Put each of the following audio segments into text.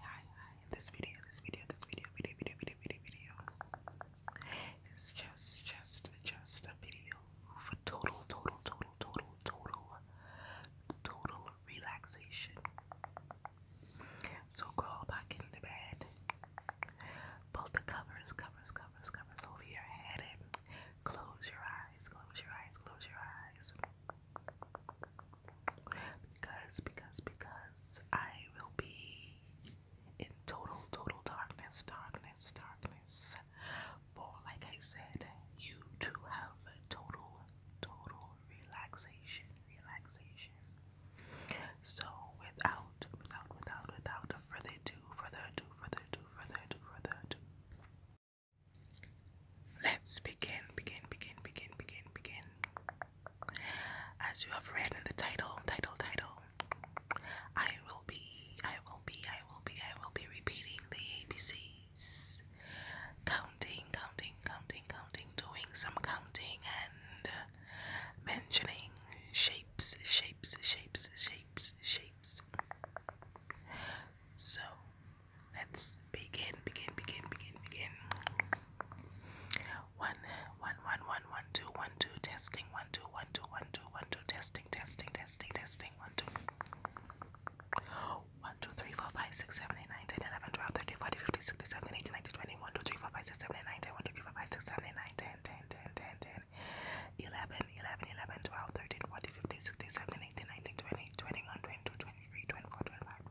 hi, hi, hi. This video, this video, this video, video, video, video, video, video. It's just, just, just a video for total, total, total, total, total, total relaxation. So crawl back in the bed. Pull the covers, covers, covers, covers over your head and close your eyes, close your eyes, close your eyes because because because I will be in total total darkness, darkness, darkness. For like I said, you to have total total relaxation, relaxation. So without without without without further ado, further ado, further ado, further ado, further ado. Let's begin, begin, begin, begin, begin, begin. As you have read in the title, title, title, I will be, I will be, I will be, I will be repeating the ABCs. Counting, counting, counting, counting, doing some counting and mentioning shapes, shapes, shapes, shapes, shapes. So, Let's begin, begin, begin, begin, begin. One, one, one, one, one, two, one, two, testing, one, two, one, two, one, two, one, two, testing, testing, testing, testing, one, two. 3, 4, 5, 6, 7, 8, 9, 10, 11, 12, 13, 14, 15, 16, 17, 18, 19, 20, 1, 2, 3, 4, 5, 6, 7, 8, 9, 10, 1, 2, 3, 4, 5, 6, 7, 8, 9, 10, 10, 10, 10, 10, 11, 11, 11, 12, 13, 14, 15, 16, 17, 18, 19, 20, 21, 22, 23, 24, 25,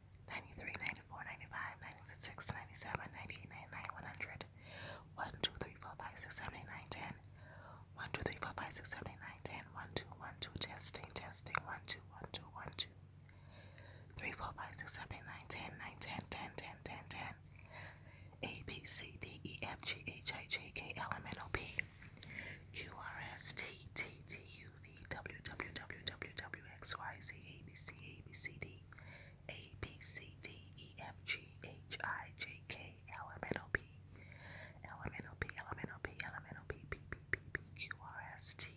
93, 94, 95, 96, 97, 98, 99, 100, 1, 2, 3, 4, 5, 6, 7, 8, 9, 10, 1, 2, 3, 4, 5, 6, 7, 8, 9, 10, 1, 2, 1, 2, testing, testing, 1, 2, 1, 2, 1, 2, 3, 4, 5, 6, 7, 8, 9, 10, 9, 10, 10, 10, 10, 10, A, B, C, D, E, F, G, H, I, J, K, L, M, N, O, P, Q, R, S, T, T, T, U, V, W, W, W, W, W, X, Y, Z, A, B, C, A, B, C, D, a B C D E F G H I J K L M N O P L M N O P L M N O P L M N O P P P P P Q R S T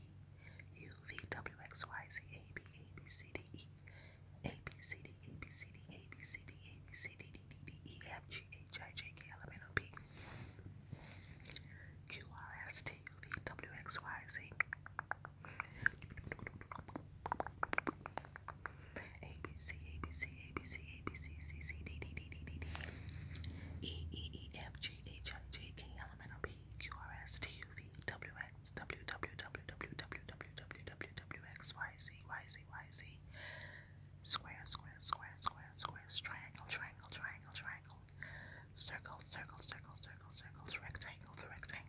U V W X Y Z A B A B C D E A B C D A B C D A B C D A B C D D D D E F G H I J K L M N O P Q R S T U V W X Y Z a B C A B C A B C A B C C C D D D D D D E E E F G H I J K L M N O P Q R S T U V W X W W W W W W W W X Y Z Y Z Y Z Square Square Square Square Square Triangle Triangle Triangle Triangle Circle Circle Circle Circle Circles Rectangle Rectangle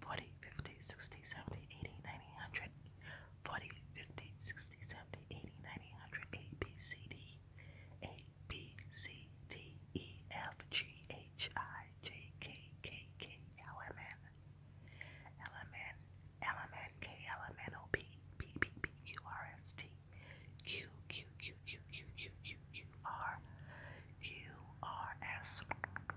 40, 50, 60, 70, 80, 90, 100. 40, 50, 60, 70, 80, 90, 100. A, B, C, D. A, B, C, D, E, F, G, H, I, J, K, K, K, L, M, N. L, M, N. L, M, N, K, L, M, N, O, P, P, P, P, Q, R, S, T. Q, Q, Q, Q, Q, Q, Q, Q, R. Q, R, S.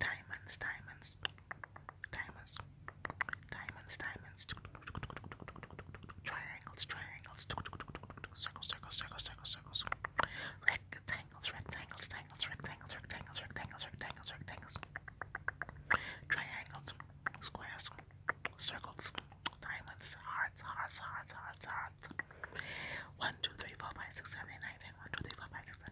diamonds, diamonds, diamonds, diamonds, diamonds, triangles, triangles, circles, circles, circles, circles, circles, rectangles, rectangles, rectangles, rectangles, rectangles, rectangles, rectangles, rectangles, triangles, squares, circles, diamonds, hearts, hearts, hearts, hearts, hearts. One, two, three, four, five, six, seven, eight, nine, ten. One, two, three, four, five, six,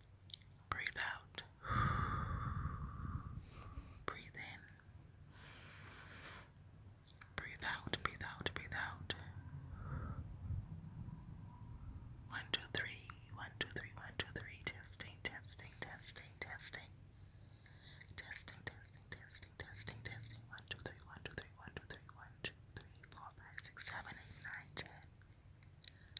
Breathe out. Breathe in. Breathe out, breathe out, breathe out. One, two, three, one, two, three, one, two, three. Testing, testing, testing, testing. Testing, testing, testing, testing, testing. One, two, three, one, two, three, one, two, three, one, two, three, four, five, six, seven, eight, nine, ten.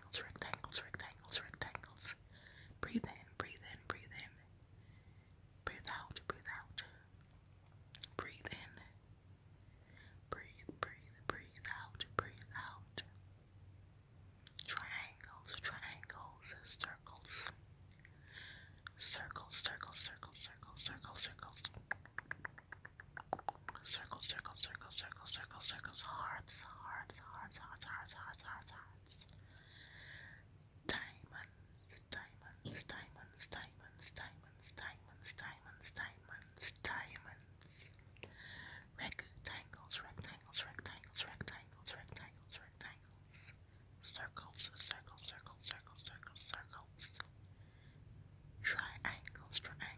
rectangles, rectangles, rectangles, rectangles. Breathe in, breathe in, breathe in. Breathe out, breathe out. Breathe in. Breathe, breathe, breathe out, breathe out. Triangles, triangles, circles. Circles, circles, circles, circles, circles, circles. Circles, circles, circles, circles, circles, circles, hearts, hearts, hearts, hearts, hearts, hearts, hearts, hearts. Diamonds, diamonds, diamonds, diamonds, diamonds, diamonds, diamonds, diamonds, diamonds. Rectangles, rectangles, rectangles, rectangles, rectangles, rectangles. Circles, circles, circles, circles, circles, circles. Triangles, triangles.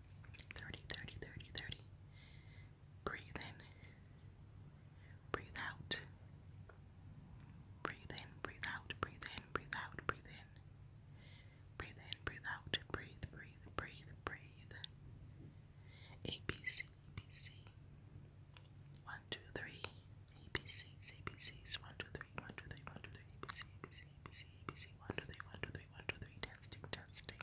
30, 30, 30, 30. Breathe in. Breathe out. Breathe in, breathe out, breathe in, breathe out, breathe in. Breathe in, breathe out, breathe, breathe, breathe, breathe. A B C B C. One, two, three. A B C C B C's one, two, three, one, two, three, one, two, three, A B C A B C A B C A B C one, two, three, one, two, three, one, two, three, testing, testing.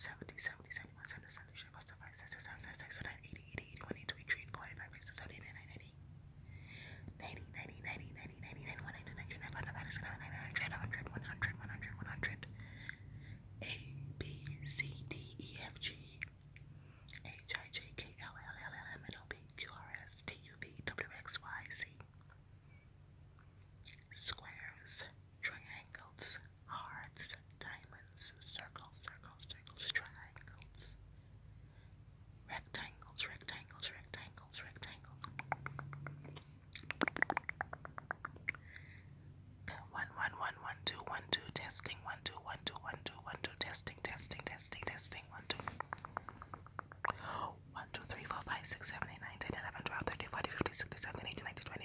70, 70, 71, 72, A, B, C, D, E, F, G, H, I, J, K, L, L, L, L, M, N, O, P, Q, R, S, T, U, V, W, X, Y, Z. Squares, triangles, hearts, diamonds, circles, circles, circles, triangles, rectangles, rectangles, rectangles, rectangles. One, one, one, one, two, one, two, testing, one, two, one, two, one, two, one, two, testing, testing, testing, testing, one, two. 1, 2, 3, 4, 5, 6, 7, 8, 9, 10, 11, 12, 13, 14, 15, 16, 17, 18, 19, 20.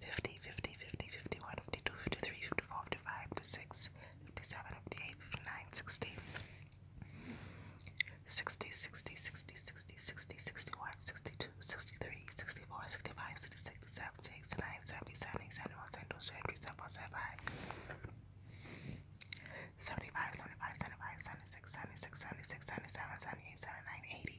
50, 50, 50, 51, 52, 53, 54, 55, 56, 57, 58, 59, 60, 60, 60, 60, 60, 60, 61, 62, 63, 64, 65, 66, 67, 69, 70, 70, 71, 72, 73, 74, 75. 75, 75, 75, 76, 76, 76, 77, 78, 79, 80,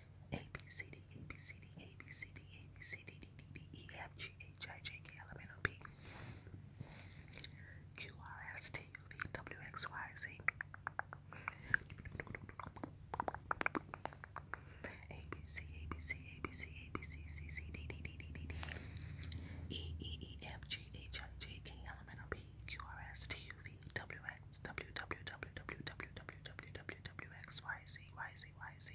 a B C D A B C D A B C D A B C D D D D E F G H I J K L M N O P Q R S T U V W X Y Z A B C A B C A B C A B C C C D D D D D D E E E F G H I J K L M N O P Q R S T U V W X W W W W W W W W WXYZYZYZ.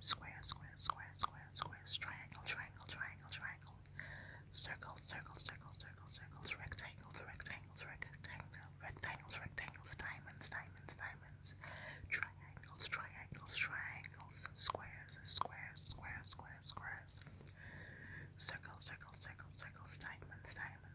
Square, square, square, square, square, triangle, triangle, triangle, triangle. Circle, circle, circle, circle, circles, rectangles, rectangles, rectangle, rectangles, rectangles, diamonds, diamonds, diamonds, triangles, triangles, triangles, squares, squares, squares, squares, squares. Circle, circle, circle, circles, diamonds, diamonds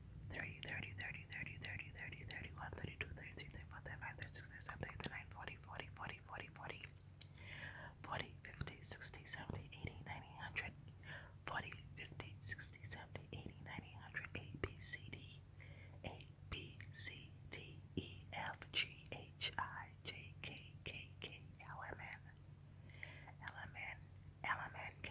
30, 30, 30, 30, 30, 30, 31, 32, 33, 34, 35, 36, 37, 39, 40, 40, 40, 40, 40, 40, 50, 60, 70, 80, 90, 100, 40, 50, 60, 70, 80, 90, 100, A, B, C, D, A, B, C, D, E, F, G, H, I, J, K, K, K, L, M, N, LMN, LMNK,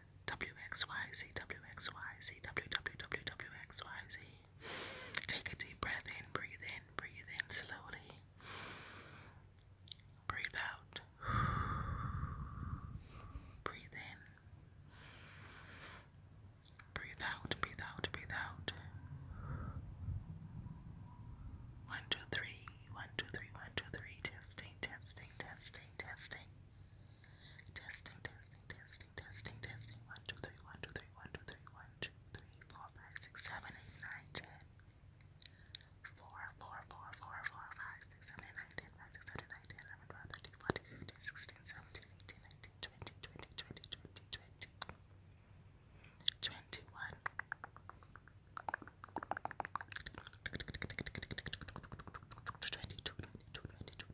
WXYZ, WXYZ, WWWWXYZ. Take a deep breath in, breathe in, breathe in slowly. Breathe out. Breathe in. Breathe out, breathe out, breathe out. One, two, three, one, two, three, one, two, three. Testing, testing, testing, testing. Testing, testing, testing, testing, testing. 1, 2, 3, 1, 2, 3, 1, 2, 3, 21. Twenty-two, twenty-two, twenty-two,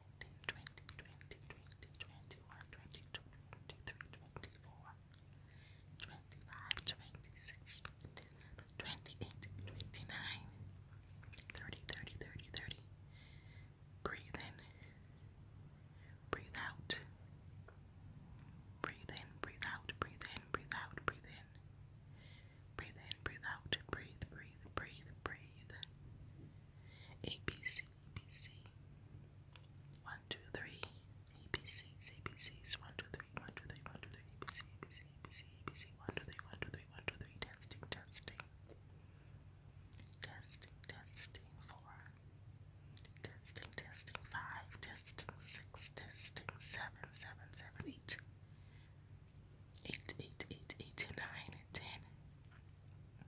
30. Breathe in, breathe out. Breathe in, breathe out, breathe in, breathe out, breathe in. Breathe in, breathe out, breathe, breathe, breathe, breathe. A, B, C, ABC. One, two, three. ABC, ABCs. One, two, three. One, two, three. One, two, three. ABC, ABC, ABC, ABC. One, two, three. One, two, three. One, two, three. Testing, testing. Testing, testing. Four. Testing, testing. Five. Testing, six. Testing, seven, seven, seven, eight. Eight, eight, eight, eight, nine, ten. 11, 12, 13, 14, 15, 16, 17, 18, 19, 20, 21, 22, 23, 24, 25, 26, 27, 28, 29, 30, 31, 32, 33, 34, 35, 36, 37, 38, 39, 40, 41, 42, 43, 44, 45, 46, 47, 48, 49, 50, 51, 52, 53, 54, 55, 56, 57, 58, 59, 60, 61, 62, 63, 64, 65, 66, 67, 68, 69, 70, 71, 72, 73, 74, 75, 76, 77, 78, 79, 10,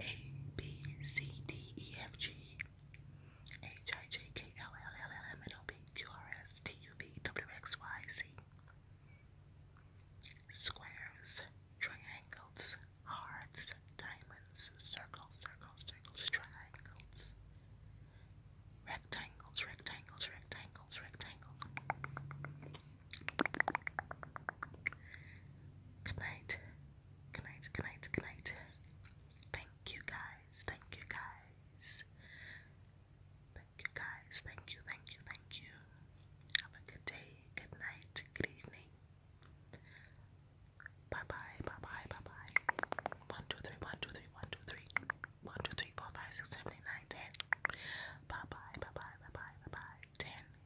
a B C D E F G H I J K L L L L M N O P Q R S T U V W X Y Z Squares, triangles, hearts, diamonds, circles, circles, circles, triangles, rectangles, rectangles, rectangles, rectangles. Good night. Good night, good night, good night. Thank you guys, thank you guys. Thank you guys, thank you, thank you, thank you. Have a good day, good night, good evening. Bye bye, bye bye, bye bye. 1, 2, 3, 1, 2, 3, 1, 2, 3. 1, 2, 3, 4, 5, 6, 7, 8, 9, 10. Bye bye, bye bye, bye bye, bye bye. 10,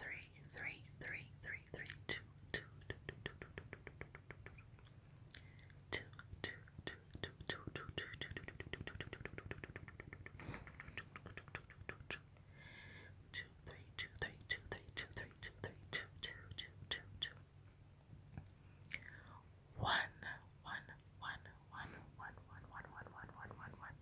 three, three, three, three, three, two, two, two, two, two, two, two, two, two, two, two, two, two, two, one, one, one, one, one, one, one, one, one, one, one, one.